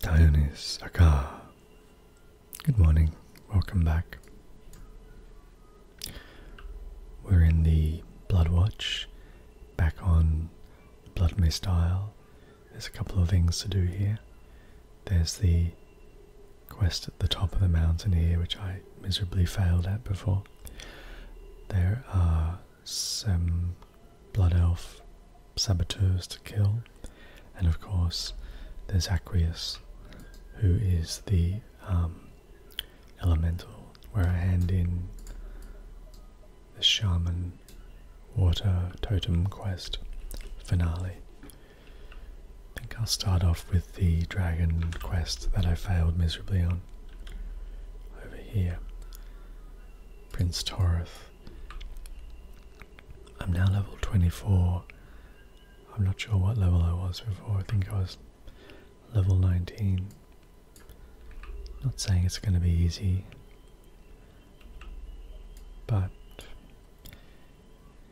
Dionys Aka. Good morning, welcome back. We're in the Blood Watch, back on the Blood Mist Isle. There's a couple of things to do here. There's the quest at the top of the mountain here, which I miserably failed at before. There are some Blood Elf saboteurs to kill, and of course, there's Aqueous, who is the um, elemental, where I hand in the Shaman Water Totem Quest finale. I think I'll start off with the dragon quest that I failed miserably on over here. Prince Torith. I'm now level 24. I'm not sure what level I was before. I think I was level 19. Not saying it's going to be easy, but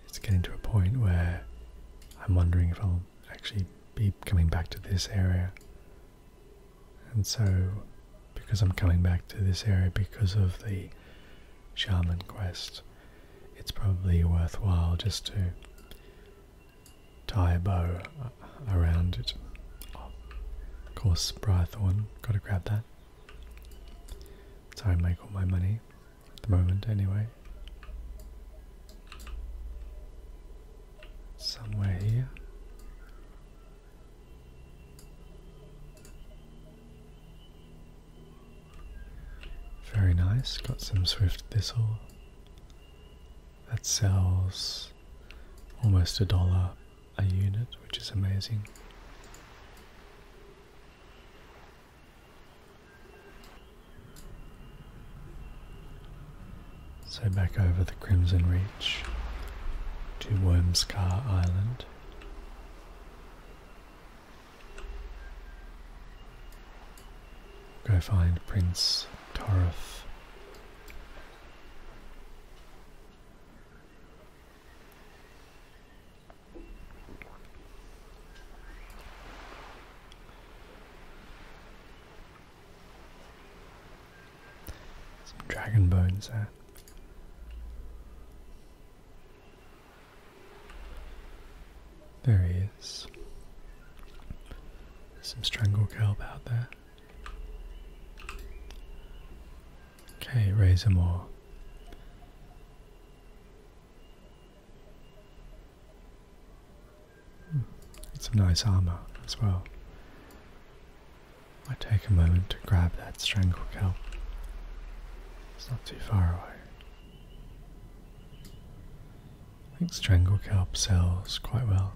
it's getting to a point where I'm wondering if I'll actually be coming back to this area and so, because I'm coming back to this area because of the shaman quest, it's probably worthwhile just to tie a bow around it. of course, Briarthorn, gotta grab that. So I make all my money, at the moment anyway. Somewhere here. Very nice, got some swift thistle. That sells almost a dollar a unit, which is amazing. So back over the Crimson Reach to Wormscar Island. Go find Prince Torith. Some dragon bones there. There he is. Some strangle kelp out there. Okay, razor more. Hmm, it's some nice armor as well. I take a moment to grab that strangle kelp. It's not too far away. I think strangle kelp sells quite well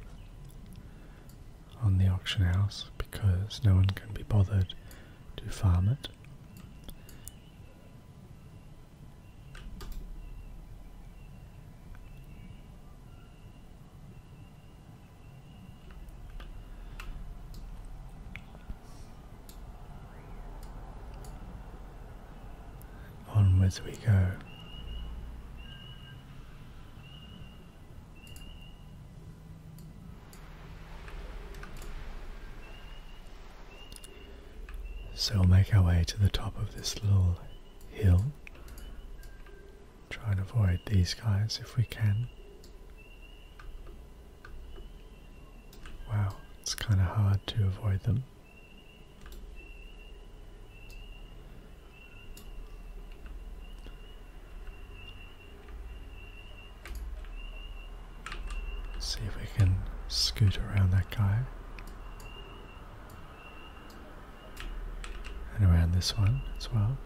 on the auction house because no one can be bothered to farm it. Onwards we go. So we'll make our way to the top of this little hill Try and avoid these guys if we can. Wow, it's kind of hard to avoid them. See if we can scoot around that guy and around this one as well.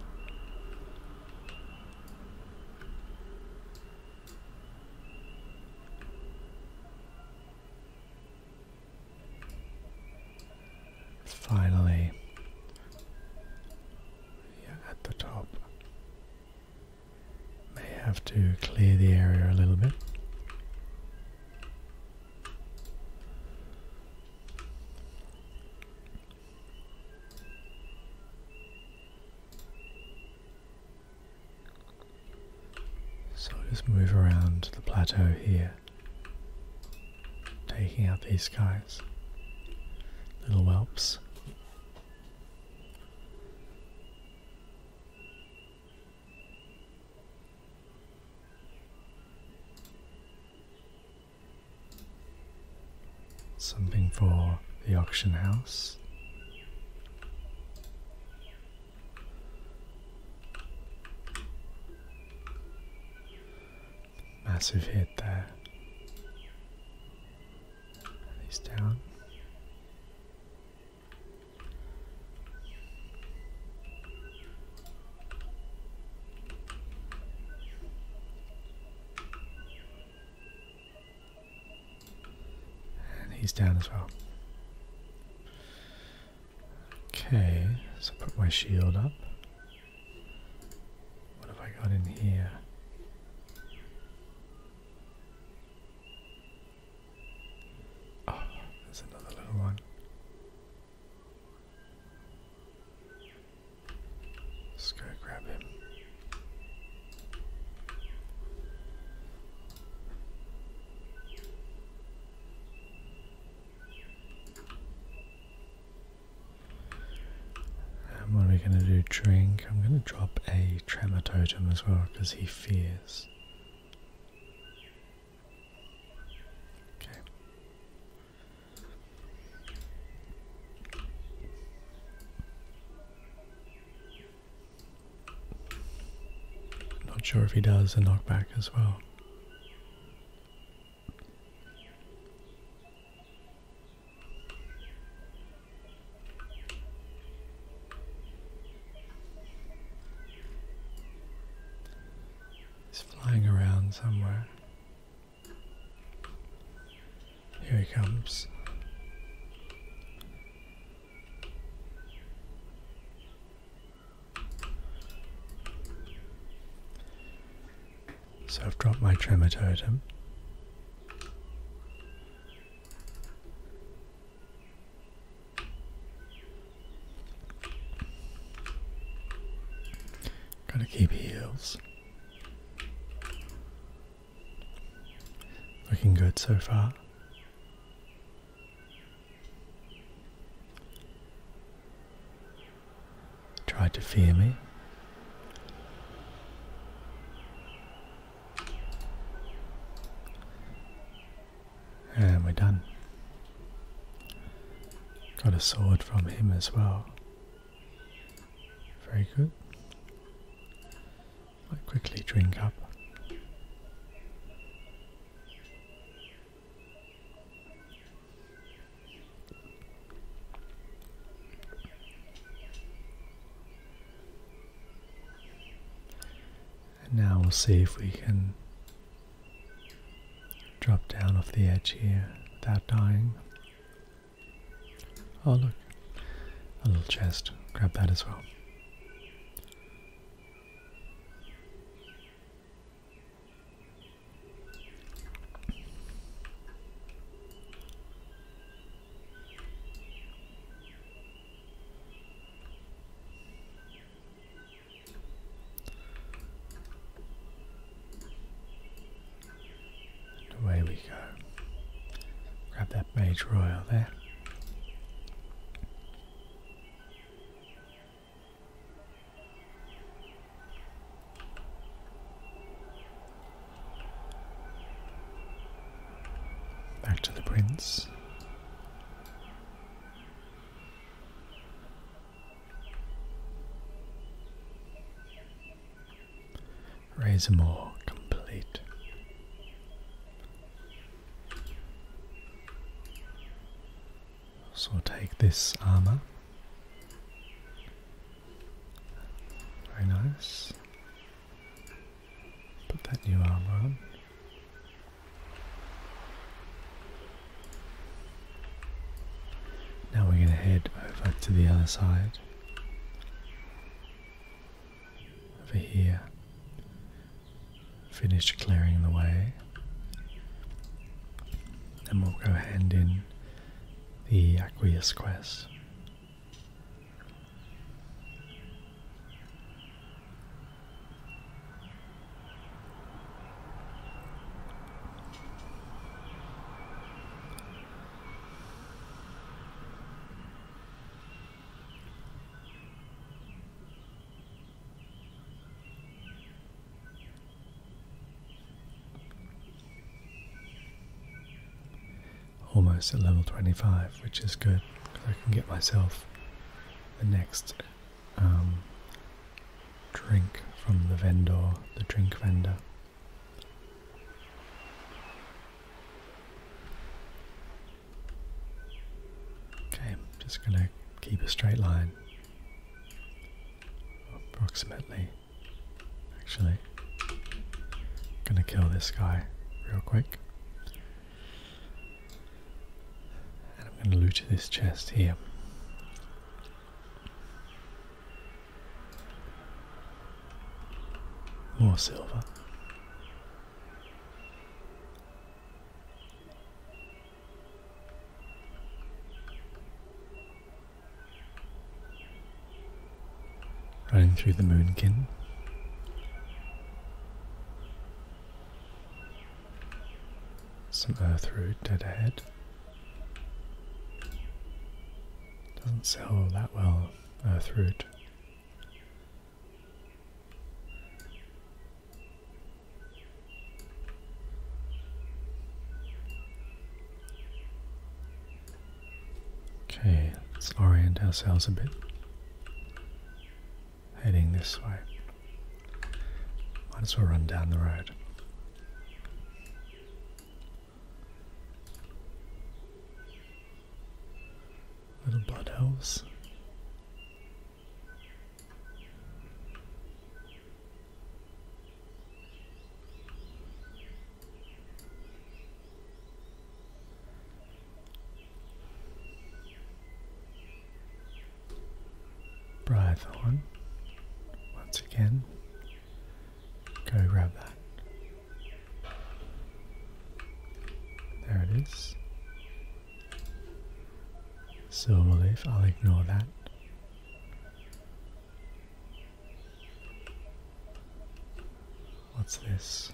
Finally, at the top, may have to clear the area a little bit. So just move around the plateau here, taking out these guys, little whelps. Something for the auction house. Massive hit there. He's down. And he's down as well. Okay, so put my shield up. What have I got in here? Oh, there's another little one. Let's go grab him. And what are we going to do? Drink. I'm going to drop a tremor totem as well because he fears. Okay. Not sure if he does a knockback as well. He's flying around somewhere. Here he comes. So I've dropped my tremor totem. Gotta keep heels. Looking good so far. Tried to fear me. And we're done. Got a sword from him as well. Very good. I quickly drink up. And now we'll see if we can drop down off the edge here without dying. Oh, look, a little chest. Grab that as well. Away we go. Grab that Mage Royal there. Back to the Prince. Raise more complete. So take this armor. Very nice. Put that new armor on. Now we're going to head over to the other side. Over here. Finish clearing the way. And we'll go hand in the Aqueous quest almost at level 25, which is good because I can get myself the next um, drink from the vendor, the drink vendor. Okay, I'm just going to keep a straight line. Approximately. Actually, going to kill this guy real quick. And I'm going to loot this chest here. More silver. Running through the moonkin. Some earth root dead ahead. Doesn't sell that well, Earth uh, Root. Okay, let's orient ourselves a bit. Heading this way. Might as well run down the road. Little blood elves. Breathe on. Once again, go grab that. There it is. Silver leaf, I'll ignore that. What's this?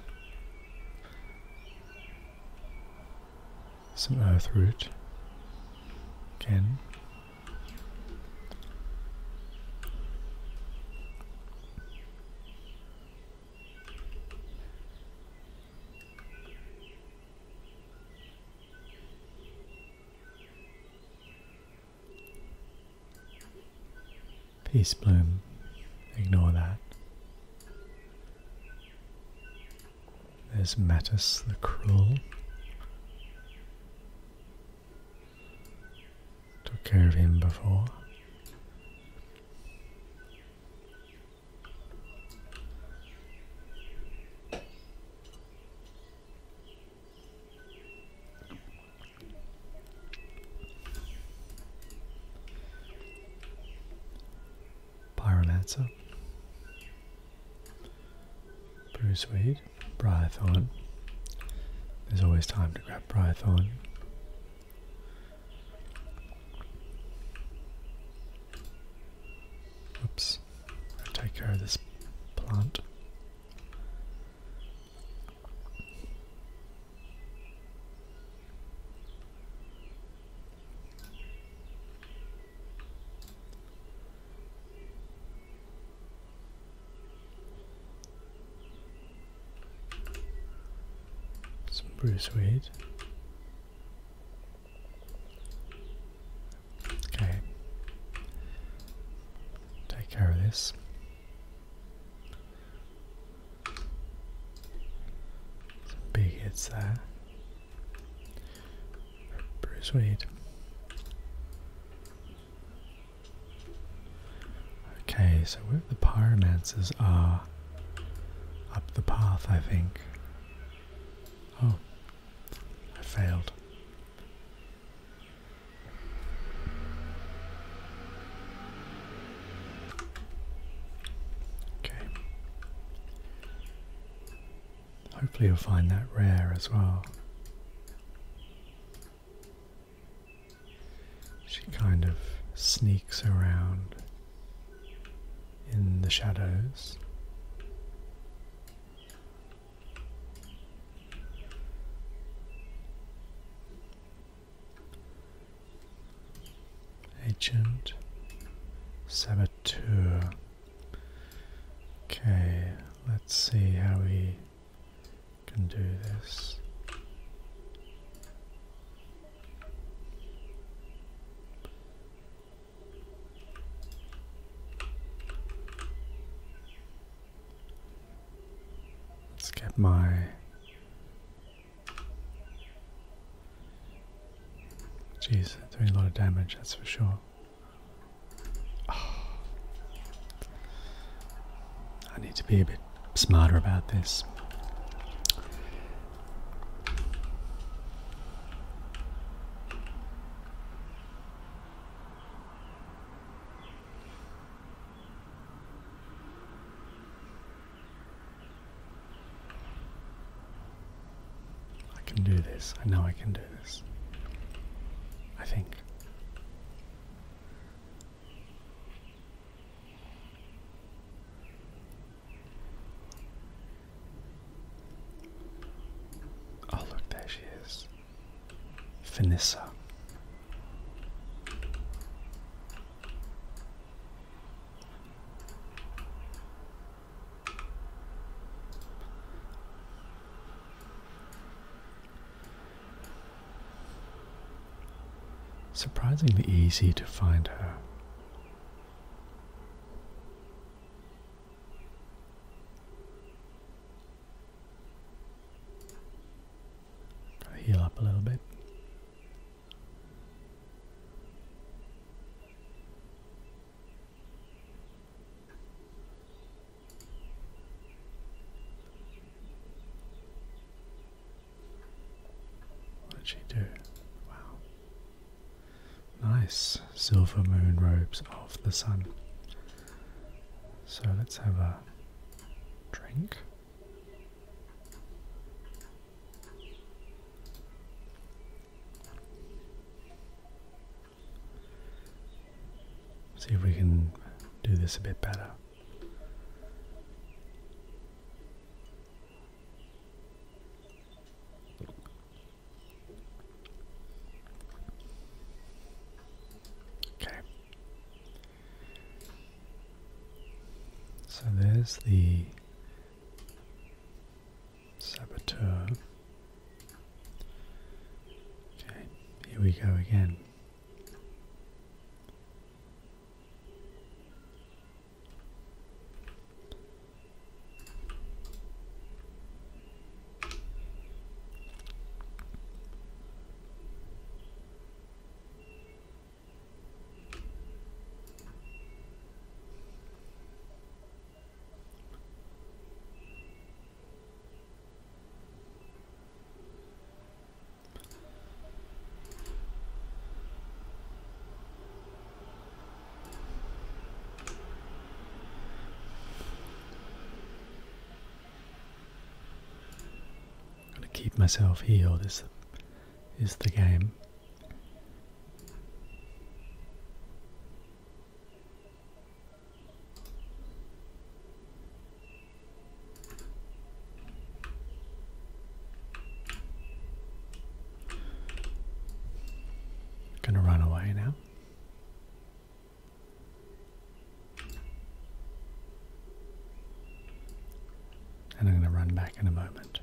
Some earth root. Again, Peace bloom, ignore that. There's Mattis the Cruel. Took care of him before. Pyromancer. Bruce Weed. Briathorn. There's always time to grab Briathorn. Oops. take care of this plant. Some Bruce Wade. Okay. Take care of this. Some big hits there. Bruce Wade. Okay, so where the pyromancers are up the path, I think. Oh, I failed. Okay. Hopefully, you'll find that rare as well. She kind of sneaks around in the shadows. Agent Saboteur. Okay, let's see how we can do this. Let's get my Jeez, doing a lot of damage, that's for sure. I need to be a bit smarter about this. I can do this. I know I can do this. I think. Oh, look, there she is. Finissa. Surprisingly easy to find her. Heal up a little bit. What did she do? Wow. Nice silver moon robes of the sun. So let's have a drink. See if we can do this a bit better. Okay. So there's the Saboteur. Okay, here we go again. Gotta keep myself healed is is the game. Gonna run away now. And I'm going to run back in a moment.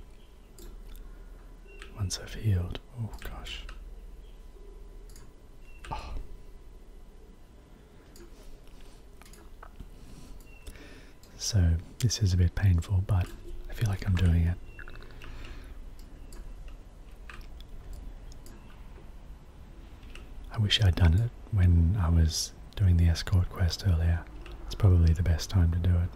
Once I've healed. Oh gosh. So, this is a bit painful, but I feel like I'm doing it. I wish I'd done it when I was doing the escort quest earlier. It's probably the best time to do it.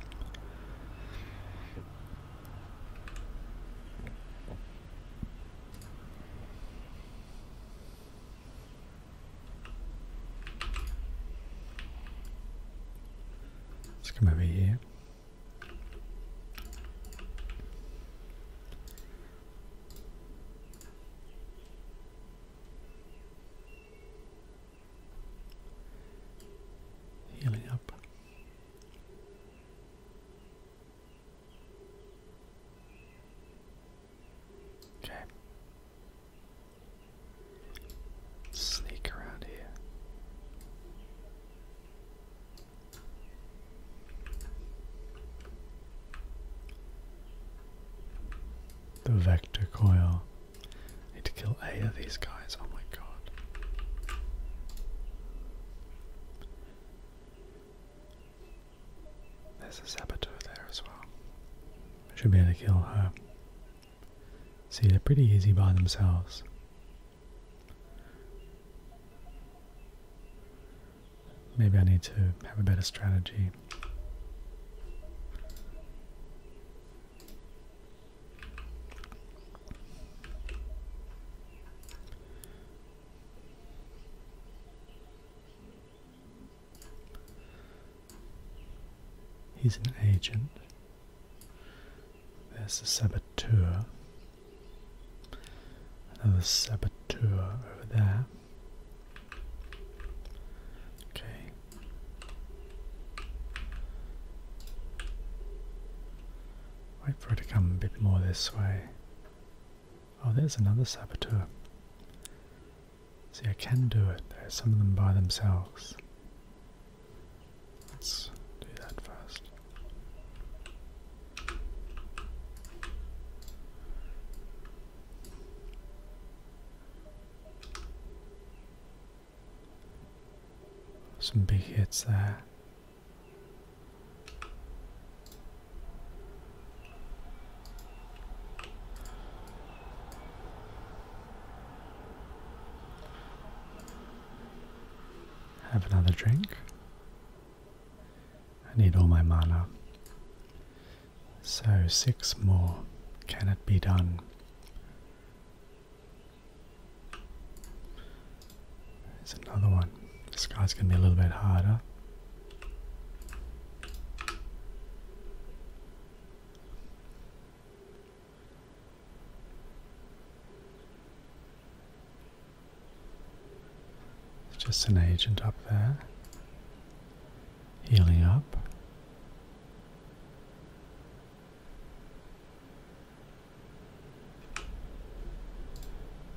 Let's come over here. Healing up. Okay. Sneak around here. The vector coil. I need to kill eight of these guys. Oh my god. There's a saboteur there as well. Should be able to kill her. See, they're pretty easy by themselves. Maybe I need to have a better strategy. He's an agent. There's a saboteur. Another saboteur over there. Okay. Wait for it to come a bit more this way. Oh, there's another saboteur. See, I can do it. There's some of them by themselves. Let's do that first. Some big hits there. Have another drink. I need all my mana. So, six more. Can it be done? There's another one. This guy's going to be a little bit harder. It's just an agent up there. Healing up.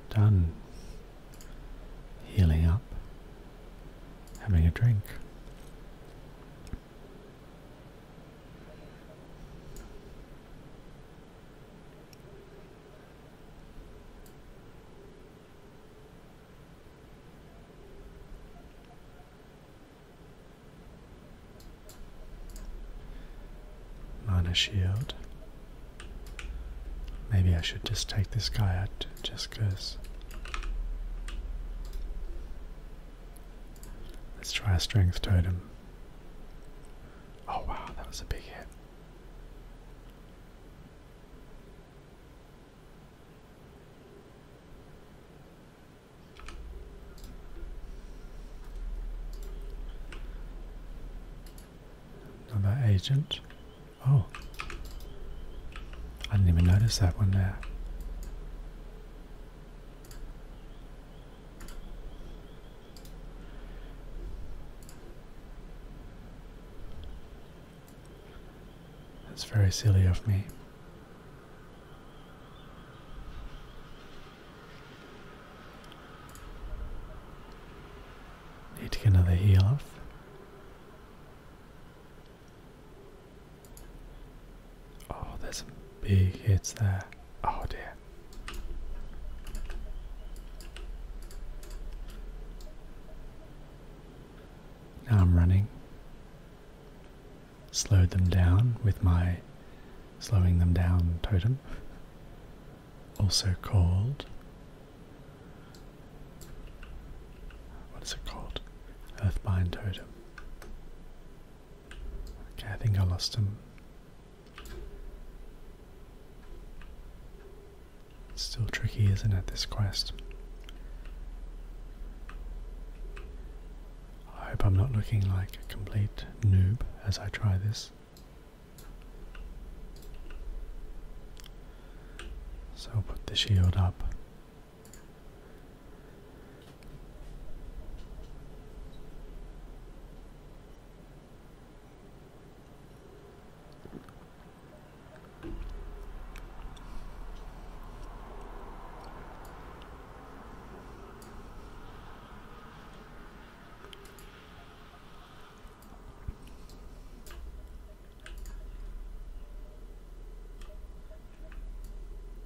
Done. Healing up. Having a drink. Mana shield. Maybe I should just take this guy out just because. Let's try a strength totem. Oh wow, that was a big hit. Another agent. Oh. I didn't even notice that one there. That's very silly of me. Need to get another heal off. Oh, there's some big hits there. Oh dear. Now I'm running. Slowed them down with my slowing them down totem, also called. What is it called? Earthbind Totem. Okay, I think I lost him. still tricky, isn't it, this quest? I hope I'm not looking like a complete noob as I try this. So put the shield up.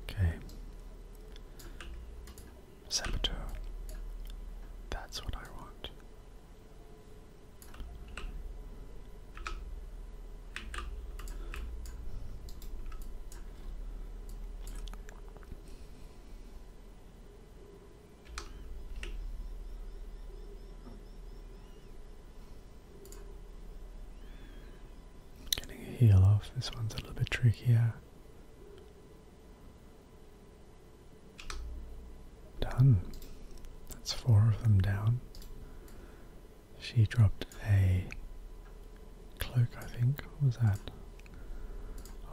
Okay. Saboteur. That's what I want. Getting a heel off, this one's a little bit trickier. Done. That's four of them down. She dropped a cloak, I think. What was that?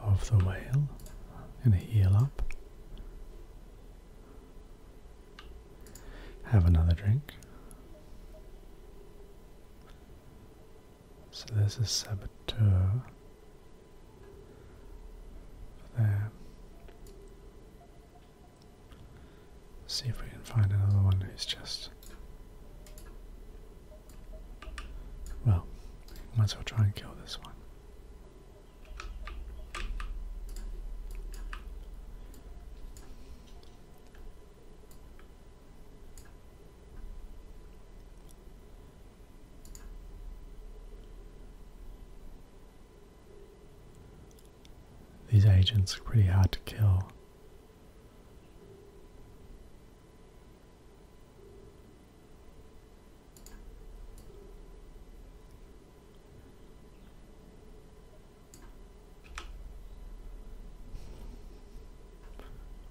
of the whale and heal up. Have another drink. So there's a saboteur there. See if we can find another one who's just well, might as well try and kill this one. These agents are pretty hard to kill.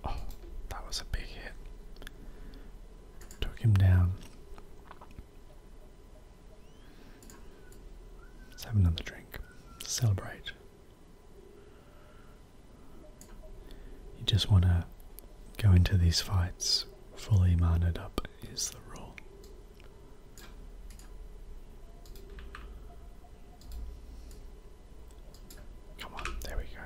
Oh, that was a big hit. Took him down. Let's have another drink. Celebrate. You just want to go into these fights fully mana up, is the rule. Come on, there we go.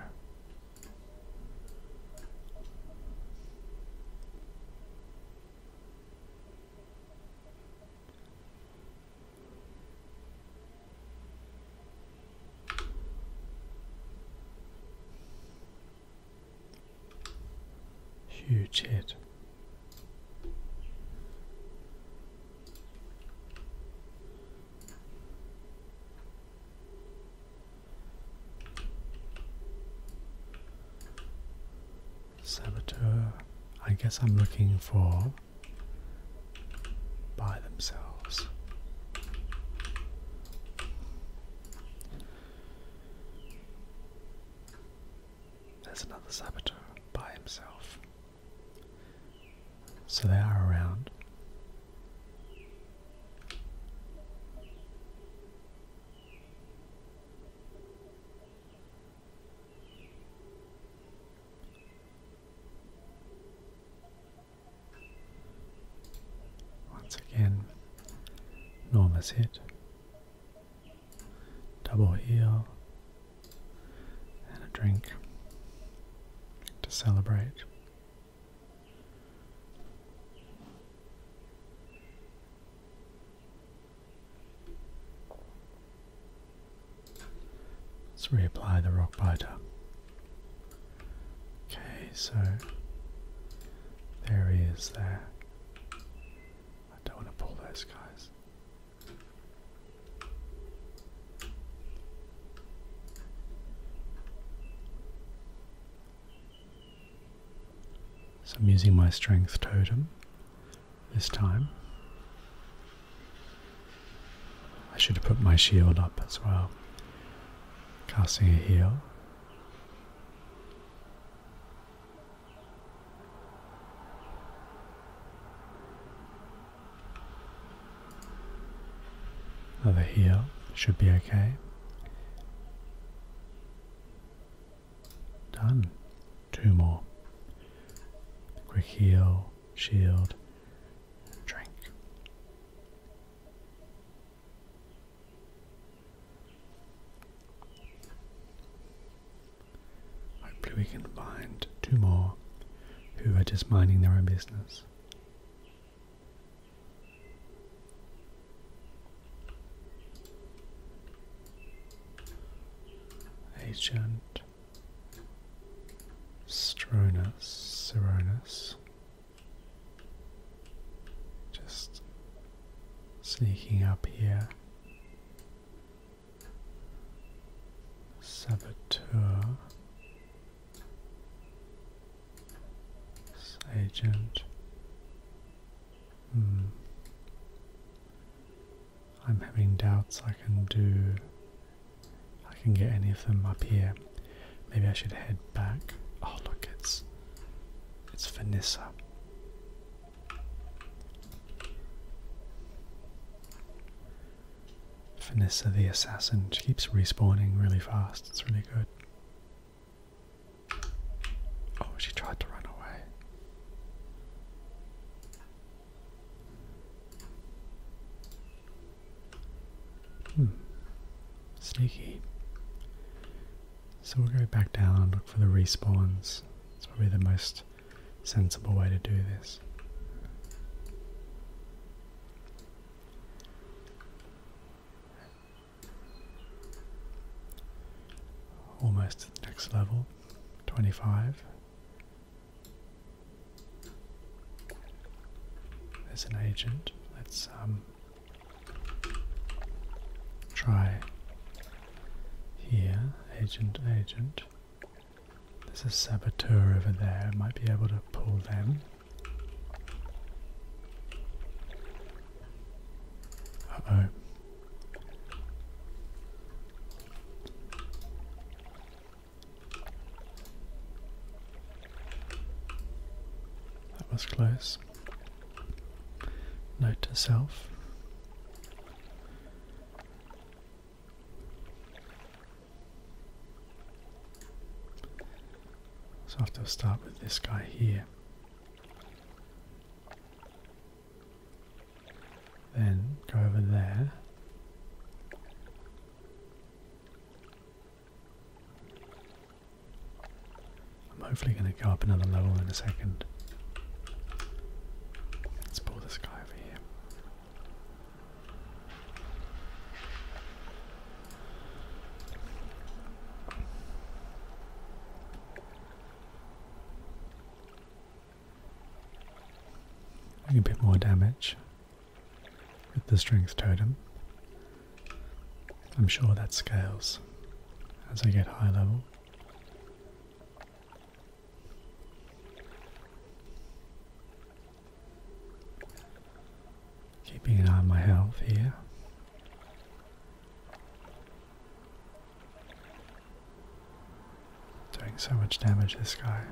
Huge hit. Saboteur. I guess I'm looking for by themselves. There's another saboteur by himself. So they are around. Once again, Norma's hit. Double heal and a drink to celebrate. Let's reapply the rock biter. Okay, so there he is there. I don't want to pull those guys. So I'm using my strength totem this time. I should have put my shield up as well casting a heal. Another heal should be okay. Done. Two more. Quick heal, shield, drink. Hopefully, we can find two more who are just minding their own business. Agent Stronus, Seronus, just sneaking up here. Saboteur. Agent. Hmm. I'm having doubts I can do I can get any of them up here. Maybe I should head back. Oh look, it's it's Vanessa. Vanessa the assassin. She keeps respawning really fast. It's really good. Oh, she tried to run away. Hmm. Sneaky. So we'll go back down and look for the respawns. It's probably the most sensible way to do this. Almost to the next level. 25. There's an agent. Let's um, try here. Agent, agent. There's a saboteur over there. Might be able to pull them. oh. That was close. Note to self. So I have to start with this guy here. Then go over there. I'm hopefully going to go up another level in a second. Let's pull this guy over here. a bit more damage with the strength totem. I'm sure that scales as I get high level. Keeping an eye on my health here. Doing so much damage this guy.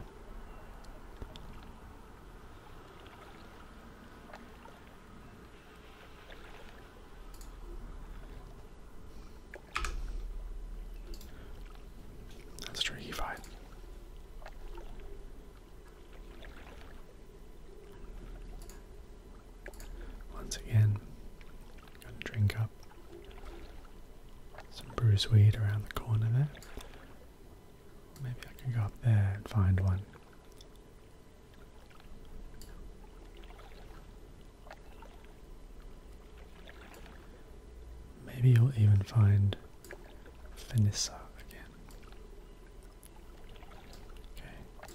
That's true, he fight. Once again, gonna drink up some bruise weed around the corner there. Maybe I can go up there and find one. Maybe you'll even find Vanessa again. Okay.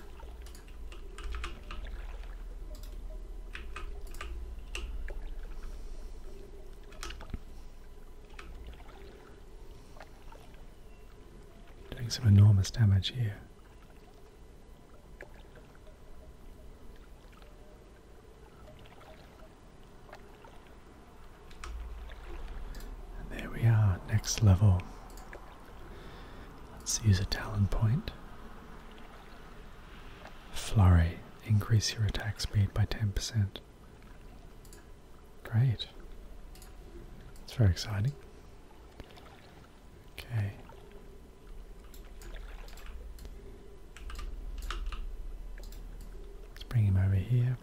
Doing some enormous damage here. there we are, next level. Let's use a talon point. Flurry, increase your attack speed by 10%. Great. It's very exciting. Okay. Let's bring him over here.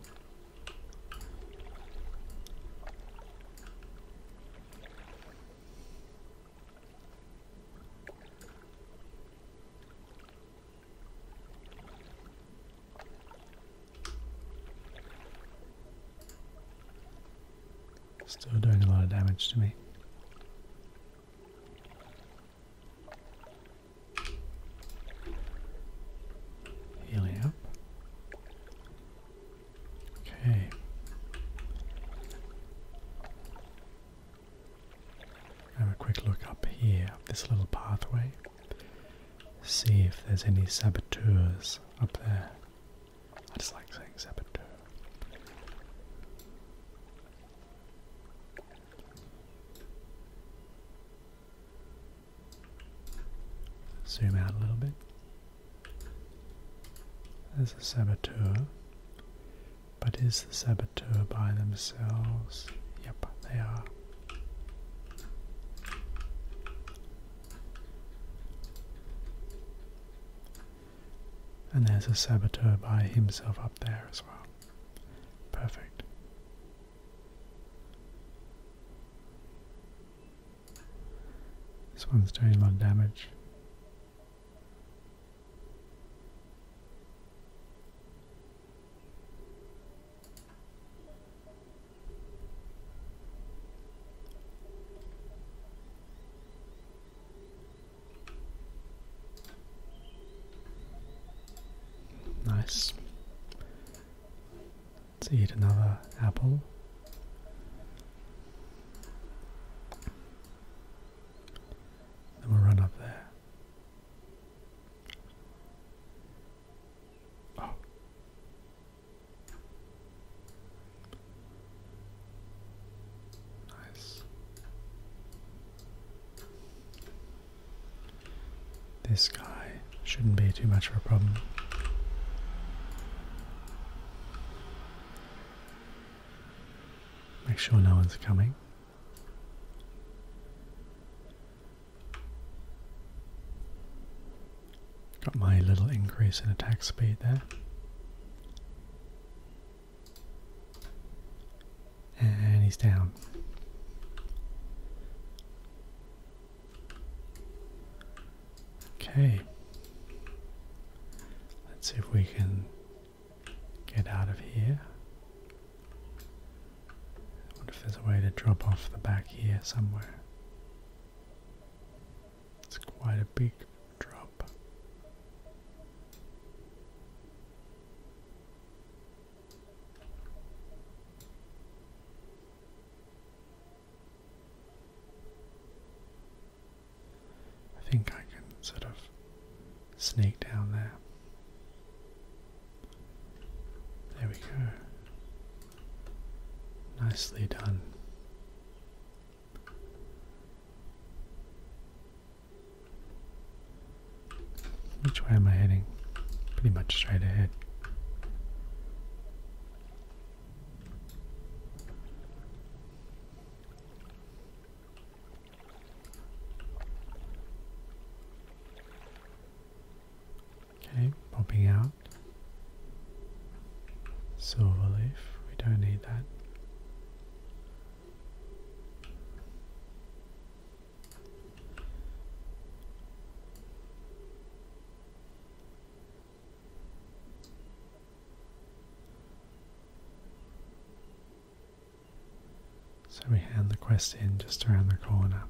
Still doing a lot of damage to me. Healing up. Okay. Have a quick look up here, up this little pathway see if there's any saboteurs up there. I just like saying saboteur. Zoom out a little bit. There's a saboteur. But is the saboteur by themselves? Yep, they are. And there's a saboteur by himself up there as well. Perfect. This one's doing a lot of damage. Nice. Let's eat another apple. Then we run up there. Nice. Oh. This guy shouldn't be too much of a problem. Make sure no one's coming. Got my little increase in attack speed there. And he's down. Okay. Let's see if we can get out of here. I if there's a way to drop off the back here somewhere. It's quite a big drop. I think I can sort of sneak down there. There we go. Nicely done. Which way am I heading? Pretty much straight ahead. Okay, popping out. Silver leaf, we don't need that. So we hand the quest in just around the corner.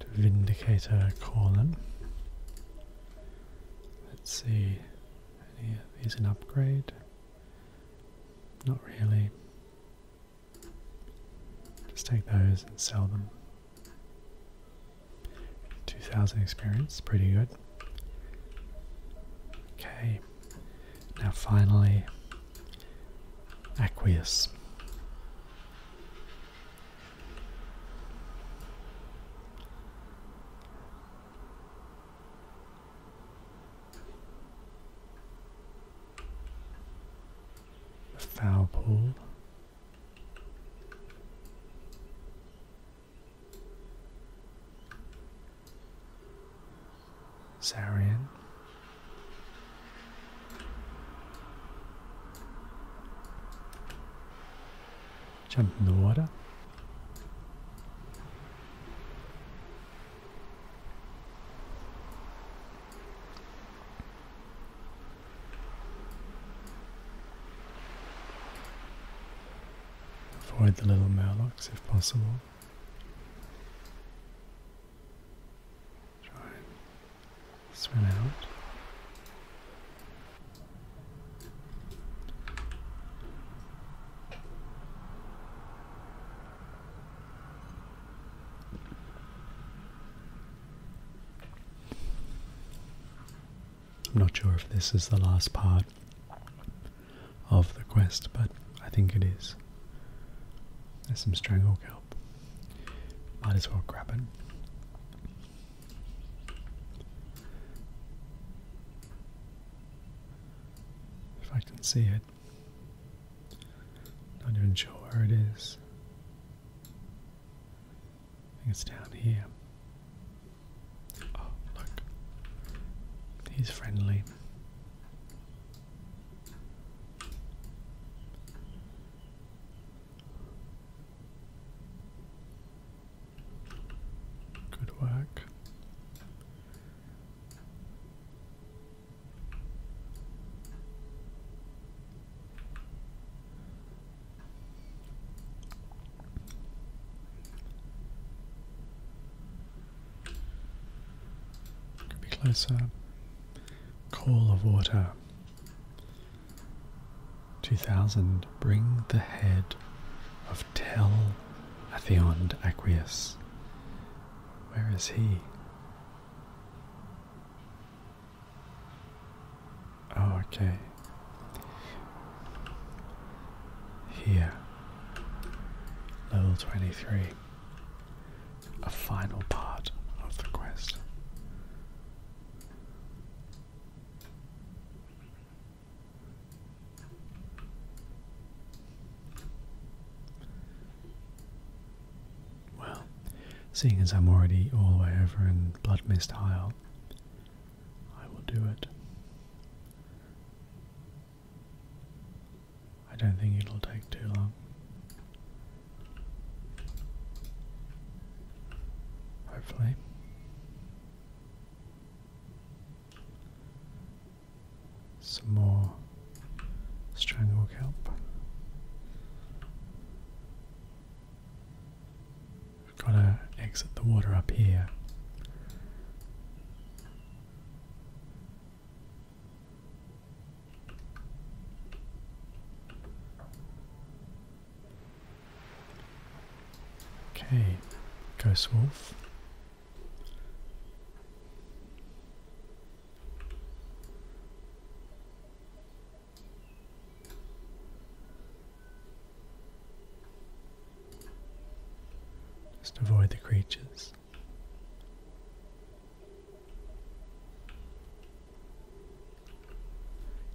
To Vindicator Column. Let's see, any an upgrade? Not really. Just take those and sell them. 2000 experience, pretty good. Okay, now finally, aqueous. The foul pool. Sarian. Jump in the water. Avoid the little murlocs if possible. Try and swim out. I'm not sure if this is the last part of the quest, but I think it is. There's some strangle Might as well grab it. If I can see it. Not even sure where it is. I think it's down here. Oh, look. He's friendly. Good work. Could be closer. Call of water. 2000. Bring the head of Tell, Tel Athioned Aqueous. Where is he? Oh, okay. Here, level 23, a final part of the quest. Well, seeing as I'm already all the way over in Blood Mist Isle, I will do it. I don't think it'll take too long. Hopefully. Some more strangle Gotta exit the water up here. Okay, go Wolf. Just avoid the creatures.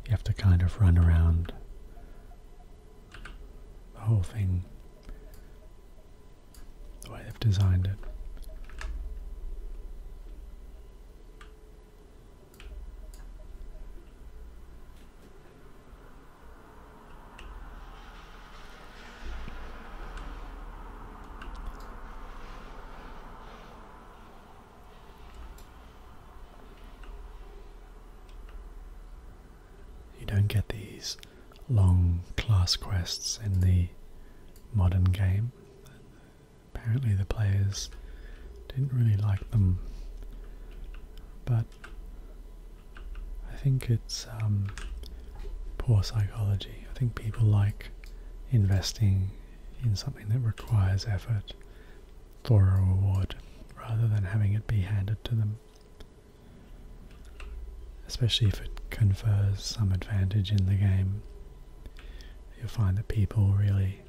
You have to kind of run around the whole thing the way they've designed it. You don't get these long class quests in the modern game. Apparently, the players didn't really like them, but I think it's um, poor psychology. I think people like investing in something that requires effort for a reward rather than having it be handed to them. Especially if it confers some advantage in the game. You'll find that people really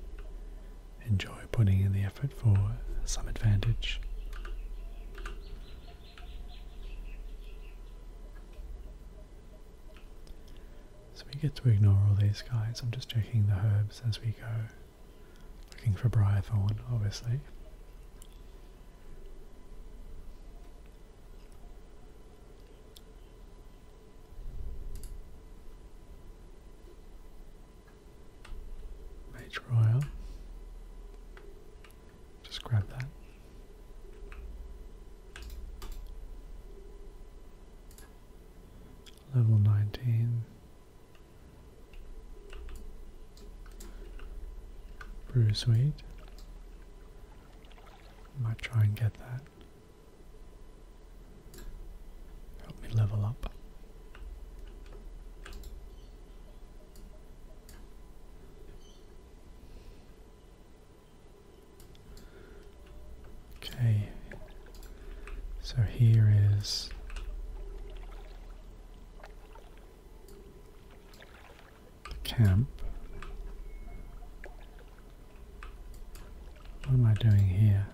enjoy putting in the effort for some advantage. So we get to ignore all these guys. I'm just checking the herbs as we go. Looking for Briarthorn, obviously. Mage Royal. Just grab that. Level 19. Brew Sweet. Might try and get that. Help me level up. Okay, so here is the camp. What am I doing here?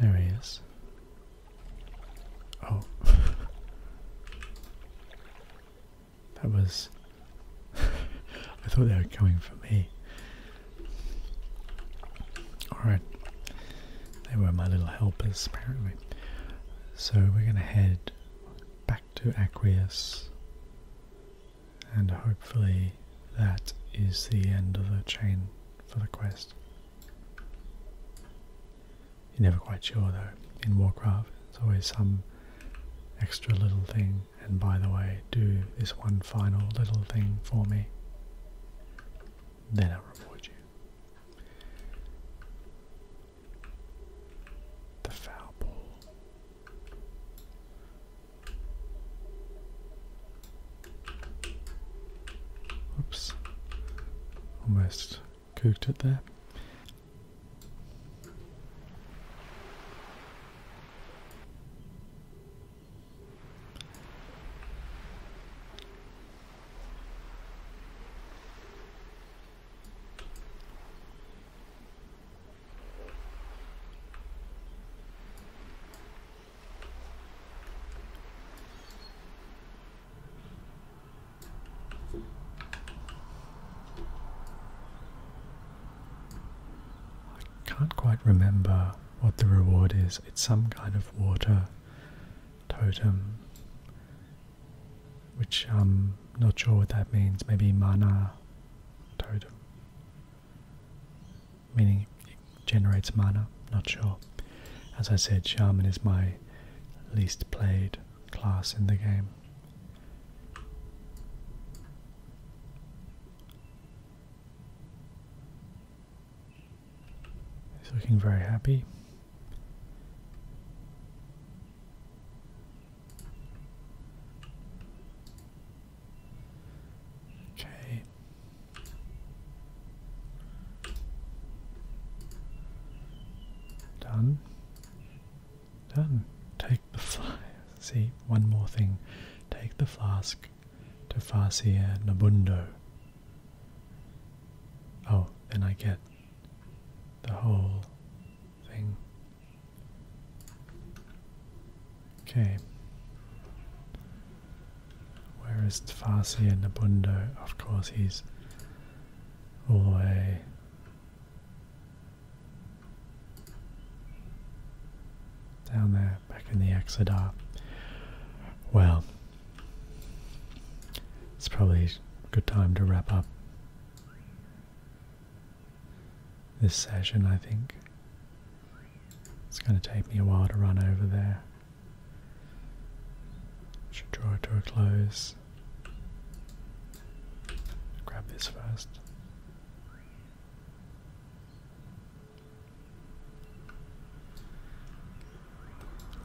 There he is. Oh. that was. I thought they were coming for me. Alright. They were my little helpers, apparently. So we're going to head back to Aqueous and hopefully that is the end of the chain for the quest. You're never quite sure though. In Warcraft, there's always some extra little thing, and by the way, do this one final little thing for me. Then I'll reward you. The foul ball. Oops, almost cooked it there. I can't quite remember what the reward is. It's some kind of water totem, which I'm not sure what that means. Maybe mana totem. Meaning it generates mana, not sure. As I said, Shaman is my least played class in the game. He's looking very happy. Okay. Done. Done. Take the fly. See, one more thing. Take the flask to Farsia Nabundo. Oh, then I get the whole thing. Okay. Where is Tfasi and Nabundo? Of course, he's all the way. Down there, back in the Exodar. Well, it's probably a good time to wrap up this session, I think. It's going to take me a while to run over there. Should draw it to a close. Grab this first.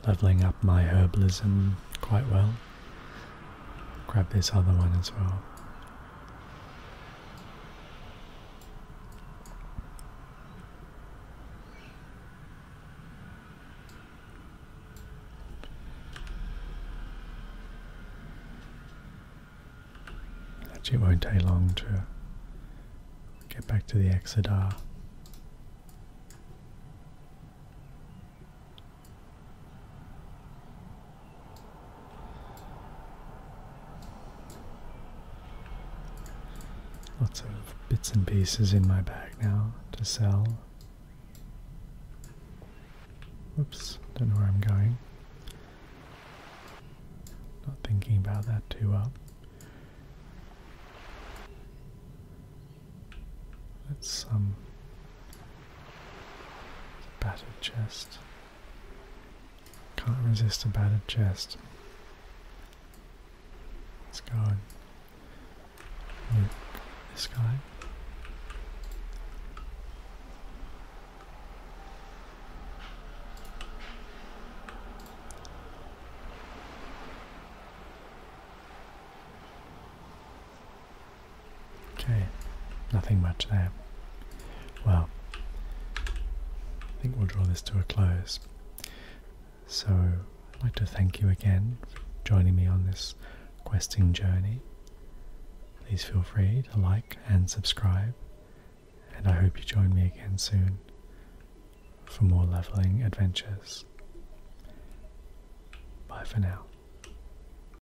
Leveling up my herbalism quite well. Grab this other one as well. Actually, it won't take long to get back to the Exodar. Lots of bits and pieces in my bag now to sell. Whoops, don't know where I'm going. Not thinking about that too well. Let's um a Battered chest. Can't resist a battered chest. It's gone. this guy. Okay, nothing much there. Well, I think we'll draw this to a close. So, I'd like to thank you again for joining me on this questing journey. Please feel free to like and subscribe, and I hope you join me again soon for more leveling adventures. Bye for now.